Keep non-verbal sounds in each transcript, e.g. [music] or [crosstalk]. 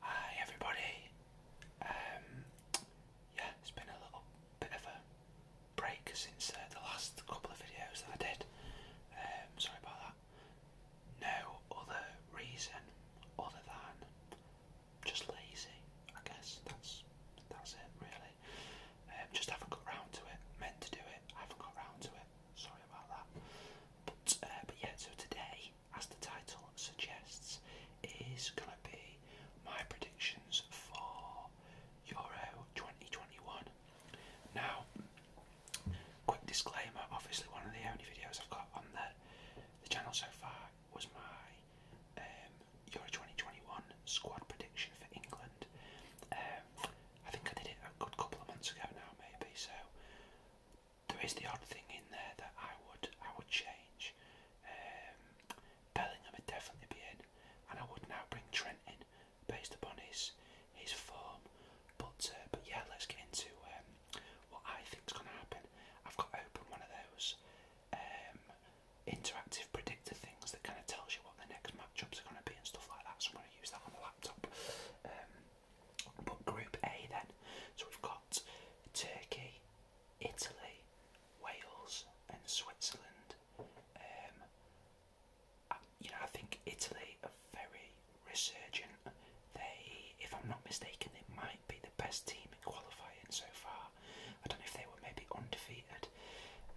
Hi everybody. Um, yeah, it's been a little bit of a break since uh, the last couple of videos that I did. Um, sorry about that. No other reason other than just lazy. I guess that's that's it really. Um, just haven't got round to it. Meant to do it. haven't got round to it sorry about that. Uh, but, yeah, so today, as the title suggests, is going to be my predictions for Euro 2021. Now, quick disclaimer obviously, one of the only videos I've got on the, channel so far was my um, Euro 2021 squad prediction for England. Um, I think I did it a good couple of months ago now, maybe, so there is the odd thing in there that I would I would change. Um, Bellingham would definitely be in, and I would now bring Trent in based upon his his form. But uh, but yeah, let's get into um, what I think's going to happen. I've got open one of those um, interactive predictor things that kind of tells you what the next matchups are going to be and stuff like that. So I'm going to use that on the laptop. Um, but Group A then, so we've got Turkey, Italy, Wales, and Switzerland. Um, I, you know, I think Italy are very resurgent. They, if I'm not mistaken, they might be the best team in qualifying so far. I don't know if they were maybe undefeated.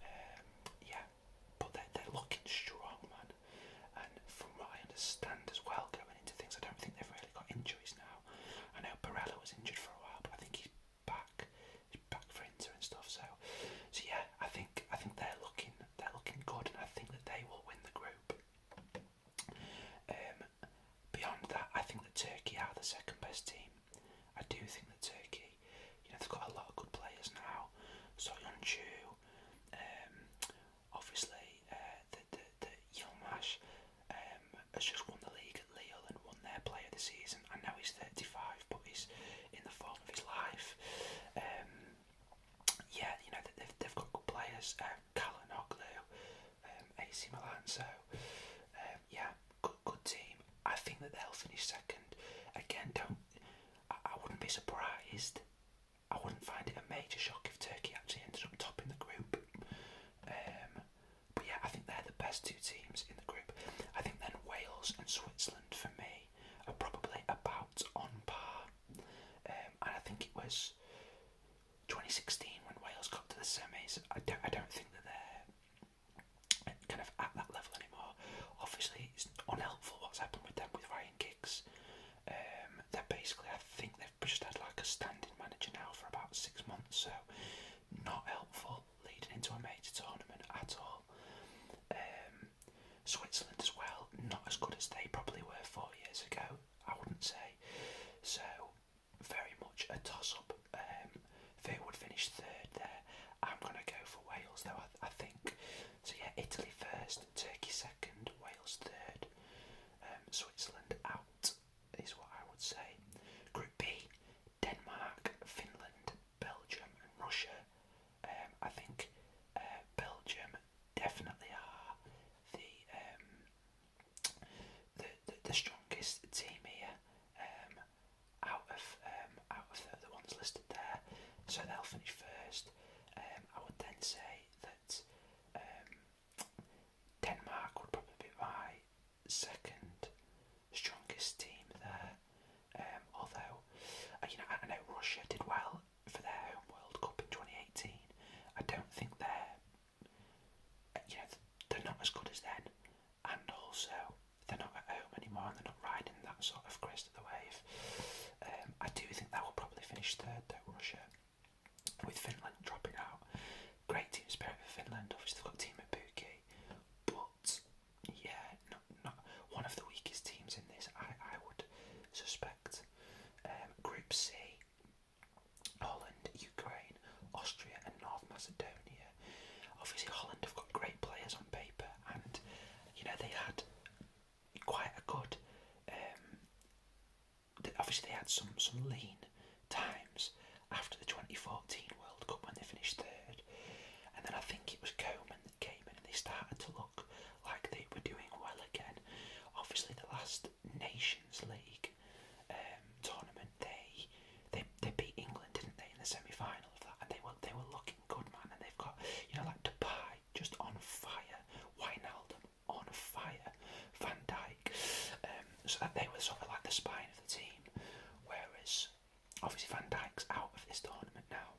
Um, yeah, but they're, they're looking strong, man. And from what I understand as well, going into things, I don't think they've really got injuries now. I know Barella was injured for a while, but I think he's back. He's back for Inter and stuff. So, so yeah, I think I think they're looking they're looking good, and I think that they will win the group. Um, beyond that, I think that Turkey are the second best team. I do think that Turkey, you know, they've got a lot of good players now. Soyuncu, um, Obviously, uh, the, the, the Yilmaz um, has just won the league at Lille and won their player of the season. And now he's 35, but he's in the form of his life. Um, yeah, you know, they've, they've got good players. Uh, um, Kalanoglu, um, AC Milan, so um, yeah, good, good team. I think that they'll finish second. Again, don't. I, I wouldn't be surprised I wouldn't find it a major shock if Turkey actually ended up topping the group. Um, but yeah, I think they're the best two teams in the group. I think then Wales and Switzerland for me are probably about on par. Um, and I think it was 2016 when Wales got to the semis. I don't, I don't think that they're kind of at that level anymore. Obviously, it's unhelpful what's happened with them with Ryan gigs. Um, they're basically, I think they've just had like a standing manager now for about six months, so not helpful leading into a major tournament at all. Um, Switzerland as well, not as good as they probably were four years ago, I wouldn't say. So, very much a toss up. Um, Fear would finish third there. I'm going to go for Wales though, I think. So, yeah, Italy first, Turkey second, Wales third, um, Switzerland out is what I would say. Group B, Denmark, Finland, Belgium, and Russia. Um, I think uh, Belgium definitely are um, the, the, the strongest team here out of out of the, ones listed there. So they'll finish first. I would then say that that um, Denmark would probably be my second strongest team there. Um, although, uh, you know, I, I know Russia did well for their home World Cup in 2018. I don't think they're, you know, they're not as good as then, and also they're not at home anymore and they're not riding that sort of Chris the wave. Um, I do think that will probably finish third though, Russia, with Finland dropping out. Great team spirit for Finland, obviously they've got Team Ibuki, but yeah, not, not one of the weakest teams in this, I, I would suspect. Um, Group C, Holland, Ukraine, Austria and North Macedonia. Obviously Holland have got great players on paper and you know they had quite a good. Um, obviously, they had some some lean times after the 2014 World Cup when they finished third, and then I think it was Coman that came in and they started to look like they were doing well again. Obviously, the last Nations League um, tournament, they, they they beat England, didn't they, in the semi final of that, and they were they were looking good, man. And they've got you know like Dubai just on fire. Wijnaldum on fire. Van Dijk. Um, so that they were sort of like the spine of the team. Whereas obviously Van Dijk's out of this tournament now.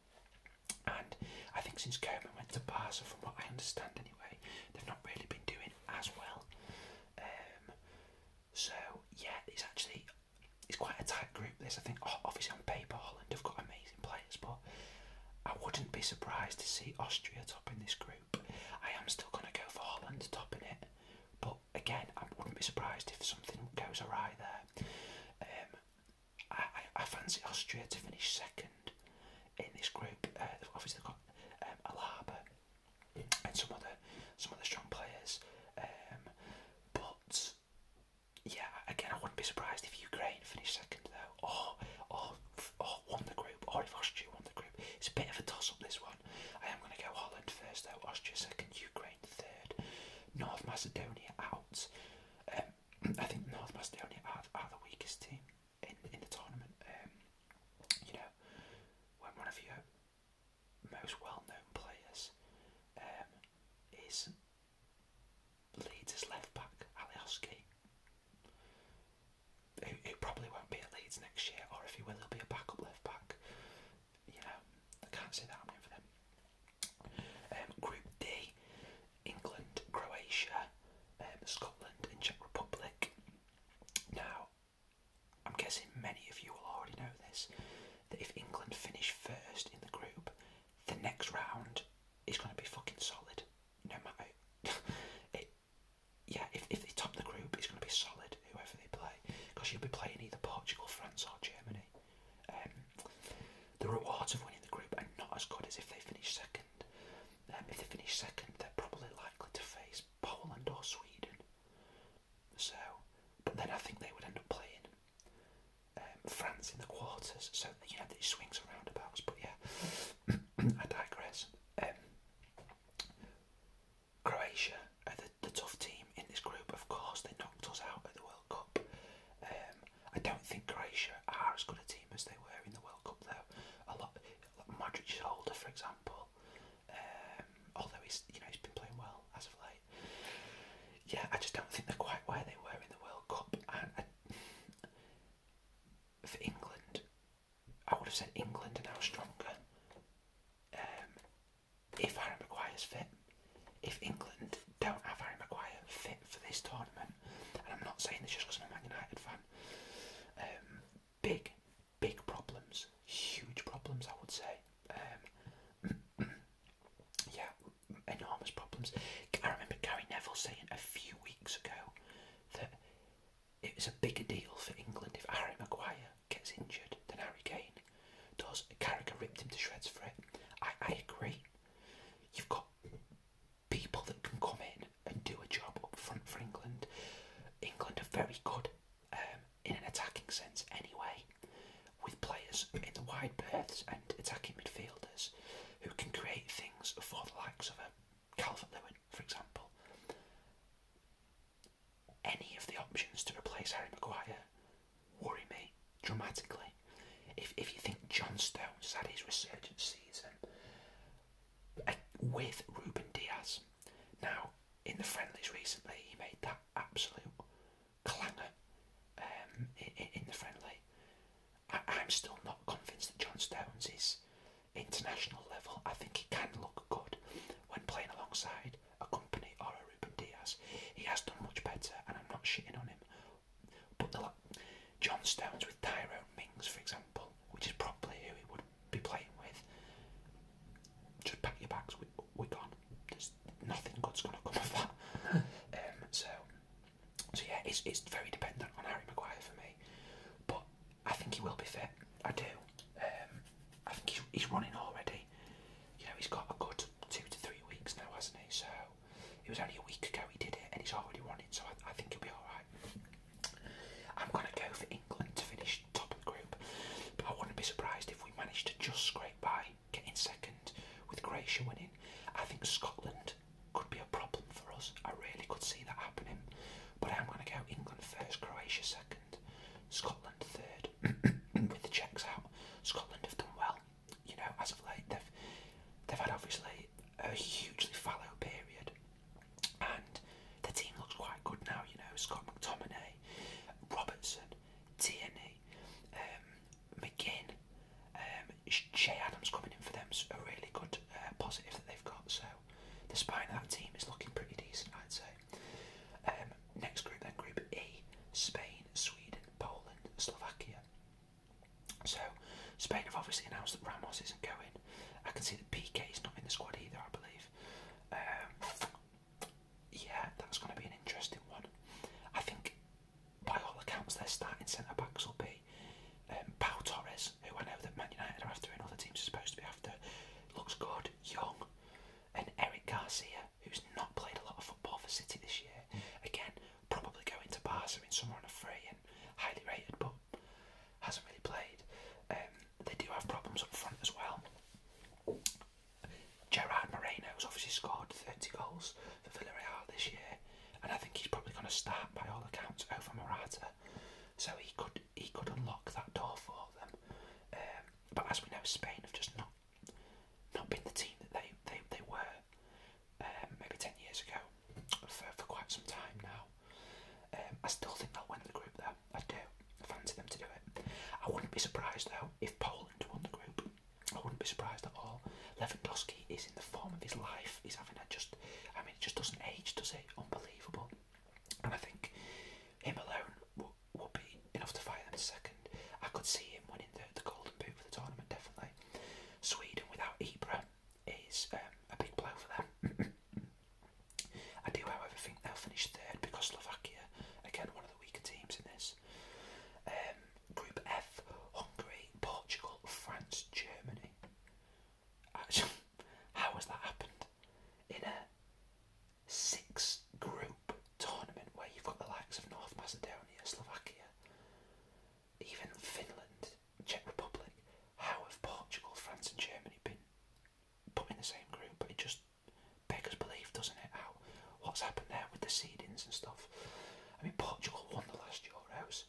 And I think since Kerman went to Barca, from what I understand anyway, they've not really been doing as well. Um, so yeah, it's actually it's quite a tight group. There's I think oh, obviously on paper Holland have got amazing players, but I wouldn't be surprised to see Austria topping this group. I am still going to go for Holland to topping it, but again, I wouldn't be surprised if something goes awry there. Um, I, fancy Austria to finish second in this group. Uh, obviously, they've got um, Alaba and some other some other strong players, um, but yeah, again, I wouldn't be surprised if Ukraine finished second though, or oh, or oh, or oh, won the group, or if Austria won the group. It's a bit of a toss-up this one. I am going to go Holland first though, Austria second, Ukraine third, North Macedonia out. Um, [clears throat] I think North Macedonia are, are the weakest team in in the tournament. Um, you know, when one of your most well-known players um, is Leeds' left back, Alioski, who, who probably won't be at Leeds next year, or if he will, he'll be a backup left back. You know, I can't see that happening for them. Um, group D, England, Croatia, um, Scotland, and Czech Republic. Now, I'm guessing many of you will already know this that if England finish first in the group, the next round it's going to be fucking solid, no matter. [laughs] it, yeah, if, if they top the group, it's going to be solid, whoever they play, because you'll be playing either Portugal, France, or Germany. Um, the rewards of winning the group are not as good as if they finish second. Um, if they finish second, they're probably likely to face Poland or Sweden. So, but then I think they would end up playing um, France in the quarters, so you know these swings and roundabouts. But yeah, [clears throat] I digress. Um, Croatia are the, the tough team in this group. Of course, they knocked us out at the World Cup. Um, I don't think Croatia are as good a team as they were in the World Cup, though. A lot, like Modric is older, for example. although he's you know he's been playing well as of late. Yeah, I just don't think they're quite where they were in the World Cup, for England, I would have said England are now stronger. Um, if Harry is fit, if England don't have Harry Maguire fit for this tournament, and I'm not saying this just because I'm a Man United fan, um, big, big problems, huge problems, I would say. Um, [clears throat] yeah, enormous problems. I remember Gary Neville saying a few weeks ago that it was a bigger deal for England if Harry Maguire gets injured than Harry Kane does. Carragher ripped him to shreds for it. I, I agree. You've got people that can come in and do a job up front for England. England are very good um, in an attacking sense anyway, with players in the wide berths and attacking midfield who can create things for the likes of a Calvert Lewin, for example. Any of the options to replace Harry Maguire worry me dramatically. If, if you think John Stones had his resurgence season uh, with Ruben Diaz, now in the friendlies recently he made that absolute clangor um, in, in the friendly. I, am still not convinced that John Stones is international level. I think he can look good when playing alongside a company or a Ruben Diaz. He has done much better, and I'm not shitting on him. But the, John Stones with Tyrone Mings, for example, which is probably who he would be playing with. Just pack your bags. We, we're gone. There's nothing good's gonna come of that. [laughs] um, so so yeah, it's it's very dependent on Harry Maguire for me, but I think he will be fit. I do. Um, I think he's, he's running already. You know, he's got a good two to three weeks now, hasn't he? So it was only a week ago he did it, and he's already running. So I, I think he'll be all right. I'm gonna go for England to finish top of the group, but I wouldn't be surprised if we manage to just scrape by getting second with Croatia winning. I think Scotland could be a problem for us. I really could see that happening. But I'm going to go England first, Croatia second, Scotland third. [coughs] with the checks out, Scotland have done well. You know, as of late, they've they've had obviously a hugely fallow period, and the team looks quite good now. You know, Scott McTominay, Robertson, Tierney, um, McGinn, Jay um, Adams coming in for them's a really good uh, positive that they've got. So the spine of that team is looking pretty decent, I'd say. Um, next group then, Group E: Spain, Sweden, Poland, Slovakia. So Spain have obviously announced that Ramos isn't going. I can see that PK is not in the squad either, I believe. Um, yeah, that's going to be an interesting one. I think by all accounts, their starting centre backs will be um, Paul Torres, who I know that Man United are after and other teams are supposed to be after. Looks good, young, and Eric Garcia, who's not played a lot of football for City this year. Again, probably going to Barca in summer on a free and highly rated, but hasn't really played. Um, they do have problems up front as well. Gerard Moreno has obviously scored 30 goals for Villarreal this year, and I think he's probably going to start by all accounts over Morata, so he could he could unlock that door for them. Um, but as we know, Spain have just not not been the team that they they, they were um, maybe ten years ago for, for quite some time now. Um, I still think they'll win the group though. I do. I fancy them to do it. I wouldn't be surprised though if Poland won the group. I wouldn't be surprised at all. Lewandowski is in the form of his life. He's having a just, I mean, it just doesn't age, does it? Unbelievable. And I think him alone will, be enough to fight them second. I could see him winning the, the golden boot for the tournament, definitely. Sweden without Ibra is um, a big blow for them. [clears throat] I do, however, think they'll finish third because Slovakia, again, one of the weaker teams in this. Um, Group F, Hungary, Portugal, France, Germany. Actually, [laughs] how has that happened? In a six group tournament where you've got the likes of North Macedonia, Slovakia, even Finland, Czech Republic, how have Portugal, France, and Germany been put in the same group? But it just beggars belief, doesn't it? How what's happened there with the seedings and stuff. I mean, Portugal won the last Euros,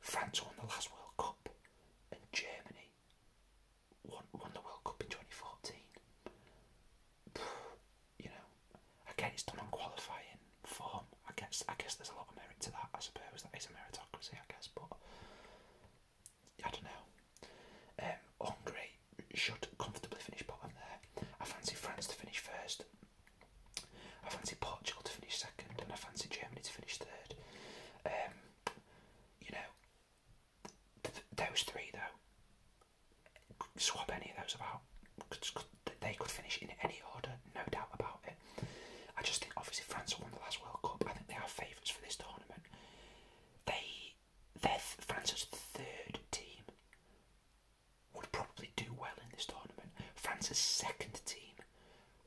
France won the last World Cup, and Germany won, won the World Cup in 2014. [sighs] You know, again, it's done on qualifying form. I guess I guess there's a lot of merit to that. I suppose that is a meritocracy. I guess, but I don't know. Um, Hungary should comfortably finish bottom there. I fancy France to finish first. I fancy Portugal to finish second, and I fancy Germany to finish third. Um, you know, those three though, swap any of those about. They could finish in any order, no doubt about it. I just think, obviously, France won the last World Cup. I think they are favourites for this tournament. They, they're France's third team would probably do well in this tournament. France's second team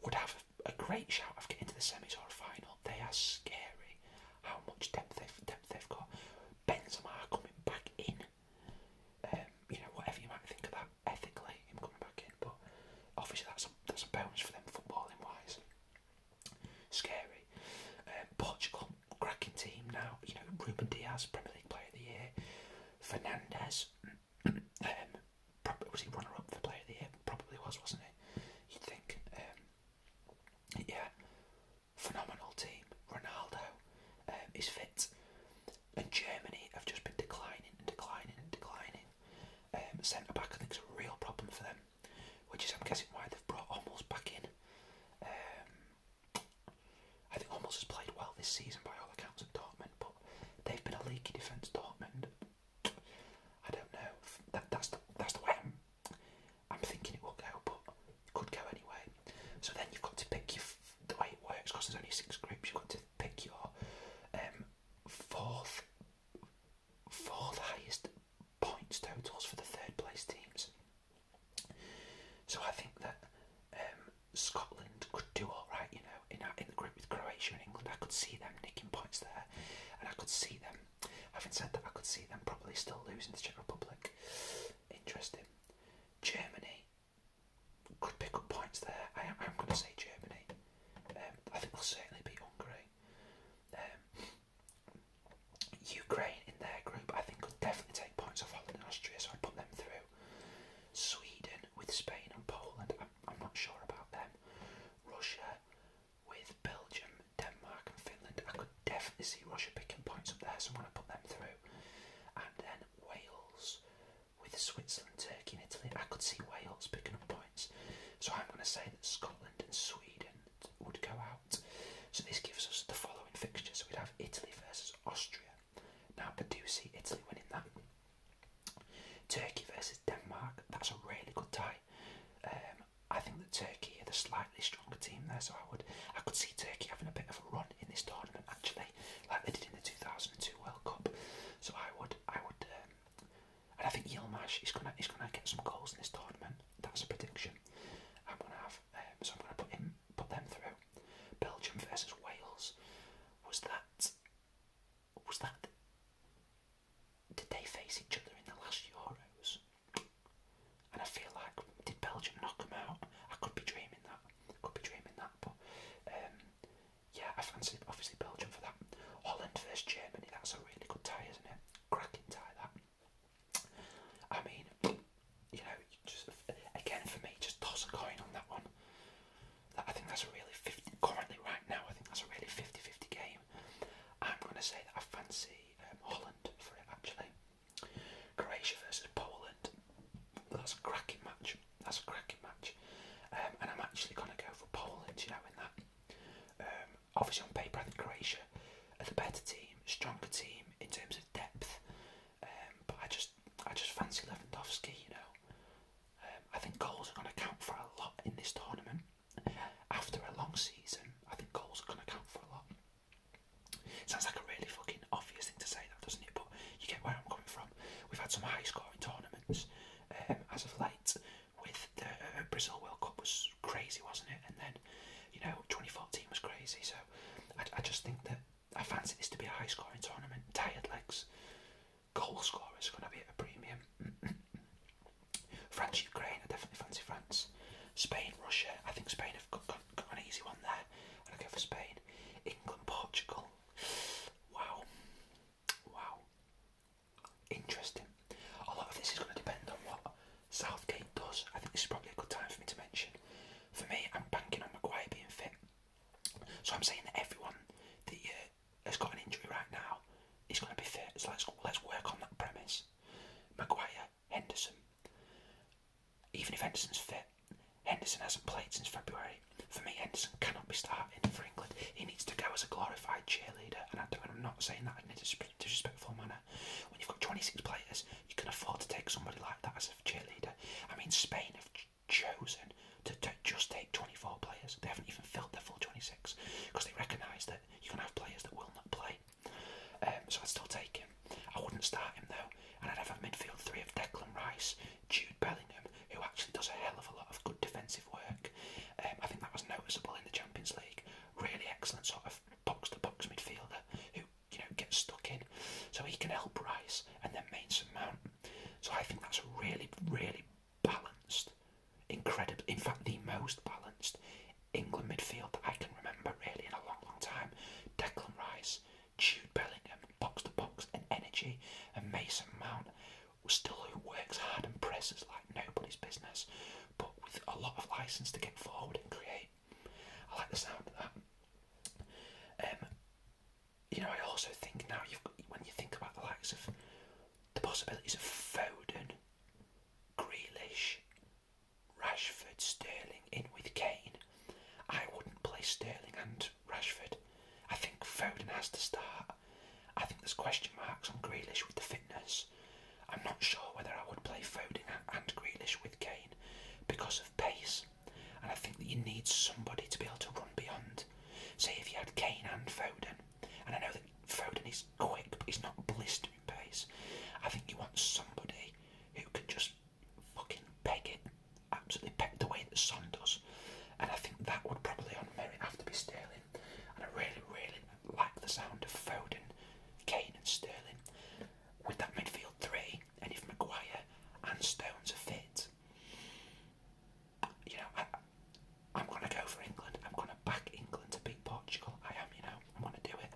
would have a, great shout of getting to the semi or final. They are scary. How much depth they've, depth they've got. Benzema coming back in. Um, you know, whatever you might think of that ethically, him coming back in, but obviously that's a, that's a bonus for them footballing wise. Scary. Um, Portugal, cracking team now. You know, Ruben Diaz, Premier League Player of the Year. Fernandez. [clears throat] Um, probably, was he runner up for player of the year? Probably was, wasn't he? You'd think. Um, yeah. Phenomenal team. Ronaldo um, is fit. And Germany have just been declining and declining and declining. Centre back, I think, is a real problem for them, which is, I'm guessing, why they've brought almost back in. I think Holmes has played well this season by all accounts at Dortmund, but they've been a leaky defence, Dortmund. I don't know. That, that's the that's the way I'm, I'm thinking it will go, but could go anyway. So then you've got to pick your the way it works because there's only six groups. You've got to pick your um, fourth fourth highest points totals for the third place teams. So I think that um, Scotland could do all right, you know, in, in the group with Croatia and England. I could see them nicking points there, and I could see them. Having said that, I could see them probably still losing the Czech Republic. Interesting. Germany could pick up points there. I am, going to say Germany. Um, I think they'll certainly be Hungary. Um, Ukraine in their group, I think, could definitely take points off Holland and Austria, so I'd put them through. Sweden with Spain and Poland. I'm, not sure about them. Russia with Belgium, Denmark, and Finland. I could definitely see Russia picking points up there, so I'm going to put them through. And then Wales with Switzerland, Turkey, and Italy. I could see Wales picking up points. So I'm going to say that Scotland and Sweden would go out. So this gives us the following fixture. So we'd have Italy versus Austria, now, Peduzzi, Italy winning that. Turkey versus Denmark, that's a really good tie. Um, I think that Turkey are the slightly stronger team there, so I would I could see Turkey having a bit of a run in this tournament actually, like they did in the 2002 World Cup. So I would I would, um, and I think Yilmaz is gonna is gonna get some goals in this tournament. That's a prediction. I'm gonna have, um, so I'm gonna put him put them through. Belgium versus Wales. Was that? Was that? Did they face each other in the last Euros? And I feel like did Belgium knock them out? I could be dreaming that. I could be dreaming that. But um, yeah, I fancy obviously Belgium for that. Holland versus Germany. That's a really good tie, isn't it? Cracking tie that. I mean, you know, just again for me, just toss a coin on that one. I think that's a really 50, currently right now. I think that's a really 50 game. I'm going to say that I fancy um, Holland for it actually. Croatia versus Poland. That's a cracking match. That's a cracking match. Um, and I'm actually going to go for Poland. You know, in that. Um, obviously on paper, I think Croatia are the better team, stronger team in terms of depth. Um, but I just I just fancy Lewandowski, you know. Um, I think goals are going to count for a lot in this tournament. After a long season, I think goals are going to count for a lot. Sounds like a really fucking obvious thing to say, that doesn't it? But you get where I'm coming from. We've had some high-scoring tournaments um, as of late. With the uh, Brazil World Cup was crazy, wasn't it? And then, you know, 2014 was crazy. So I, I just think that I fancy this to be a high scoring tournament. Tired legs, goal scorer is going to be at a premium. [clears throat] France, Ukraine, I definitely fancy France. Spain, Russia, I think Spain have got, got an easy one there. I go for Spain. England, Portugal. Wow. Wow. Interesting. A lot of this is going to depend on what Southgate does. I think this is probably a good time for me to mention for me, I'm banking on Maguire being fit. So I'm saying that everyone that uh, has got an injury right now is going to be fit. So let's let's work on that premise. Maguire, Henderson. Even if Henderson's fit, Henderson hasn't played since February. For me, Henderson cannot be starting for England. He needs to go as a glorified cheerleader, and I am not saying that in a disrespectful manner. When you've got 26 players you can afford to take somebody like that as a cheerleader. I mean, Spain have chosen to just take 24 players. They haven't even filled their full 26 because they recognise that you can have players that will not play. Um, so I'd still take him. I wouldn't start him though, and I'd have a midfield three of Declan Rice, Jude Bellingham, who actually does a hell of a lot of good defensive work. Um, I think that was noticeable in the Champions League. Really excellent sort of box to box midfielder who you know, get stuck in. So he can help Rice and then Mason Mount. So I think that's really, really balanced, incredible, in fact, the most balanced England midfield that I can remember really in a long, long time. Declan Rice, Jude Bellingham, box to box and energy, and Mason Mount still who works hard and presses like nobody's business, but with a lot of license to get forward and create. I like the sound of that. Um, you know, I also think now you've got, when you think about the likes of the possibilities of Foden, Grealish, Rashford, Sterling in with Kane. I wouldn't play Sterling and Rashford. I think Foden has to start. I think there's question marks on Grealish with the fitness. I'm not sure whether I would play Foden and Grealish with Kane because of pace. And I think that you need somebody to be able to run beyond. Say if you had Kane and Foden, and I know that Foden is quick, but he's not blistering pace. I think you want somebody who can just fucking peg it, absolutely peg the way that Son does. And I think that would probably on merit have to be Sterling. And I really, really like the sound of Foden, Kane, and Sterling with that midfield three and if Maguire and Stones are fit, you know, I, am going to go for England. I'm going to back England to beat Portugal. I am, you know, I'm going to do it.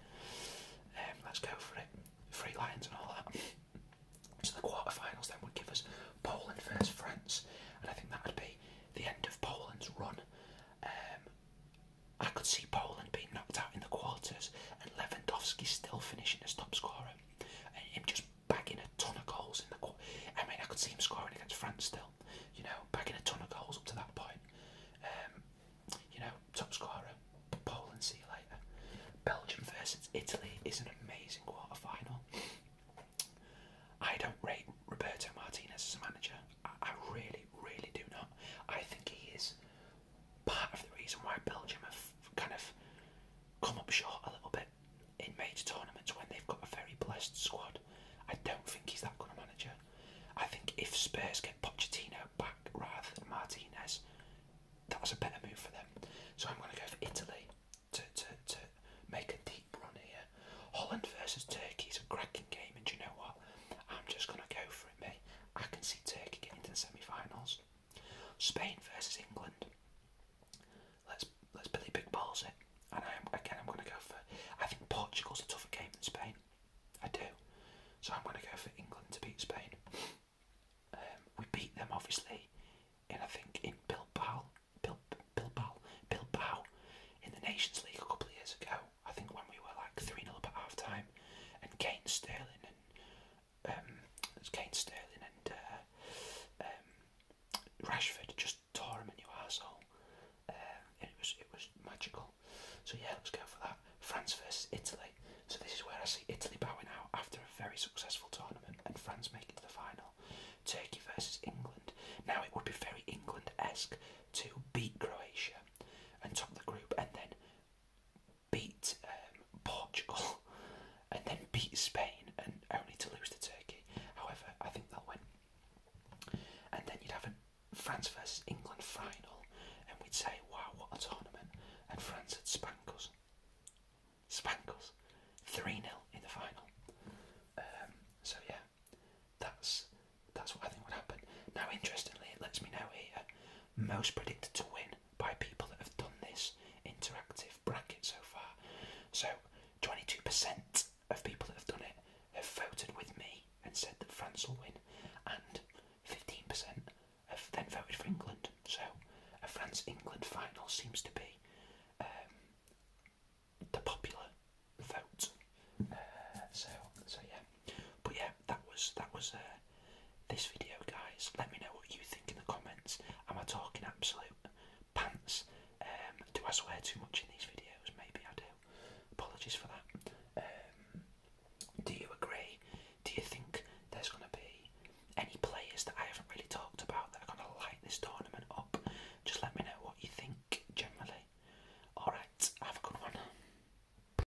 Um, let's go for it. Free lines and all that. So the quarterfinals then would give us Poland versus France, and I think that would be the end of Poland's run. Um, I could see Poland being knocked out in the quarters and Lewandowski still finishing as top scorer and him just bagging a ton of goals in the quarter. I mean, I could see him scoring against France still, you know, bagging a ton of goals up to that point. Um, you know, top scorer, Poland, see you later. Belgium versus Italy is an amazing quarter final. I don't rate Roberto Martinez as a manager. I really, really do not. I think he is part of the reason why Belgium have kind of come up short a little bit in major tournaments when they've got a very blessed squad. I don't think he's that good a manager. I think if Spurs get Pochettino back rather than Martinez, that's a better move for them. So I'm going to go for Italy to, to, to make a deep run here. Holland versus Turkey is a cracking game, and you know what? I'm just going to go for it me. I can see Turkey getting to the semi-finals. Spain versus England. Let's let's Billy Big Balls it. And i again, I'm going to go for. I think Portugal's a tougher game than Spain. I do. So I'm going to go for England to beat Spain. Um, we beat them obviously, in I think in Bilbao, Bil, Bilbao, Bilbao, in the Nations League a couple of years ago. I think when we were like three 0 up at half time, and Kane Sterling and um, Kane Sterling and uh, um, Rashford just tore him a new asshole. Um, it was it was magical. So yeah, let's go for that. France versus Italy. So this is where I see Italy bowing out after a very successful tournament, and France make it to the final. Turkey versus England. Now it would be very England-esque to beat Croatia and top the group, and then beat um, Portugal [laughs] and then beat Spain and only to lose to Turkey. However, I think they'll win. And then you'd have a France versus England final, and we'd say, wow, what a tournament. And France had spank us. 3 0 in the final. Um, so, yeah, that's that's what I think would happen. Now, interestingly, it lets me know here most predicted to win by people that have done this interactive bracket so far. So 22% of people that have done it have voted with me and said that France will win, and 15% have then voted for England. So a France England final seems to be um, the popular vote. Uh, so, so yeah, but yeah, that was that was uh, this video, guys. Let me know what you think in the comments. Am I talking absolute pants? Um, do I swear too much in these videos? Maybe I do. Apologies for that. Um, do you agree? Do you think there's going to be any players that I haven't really talked about that are going to light this tournament up? Just let me know what you think generally. Alright, have a good one.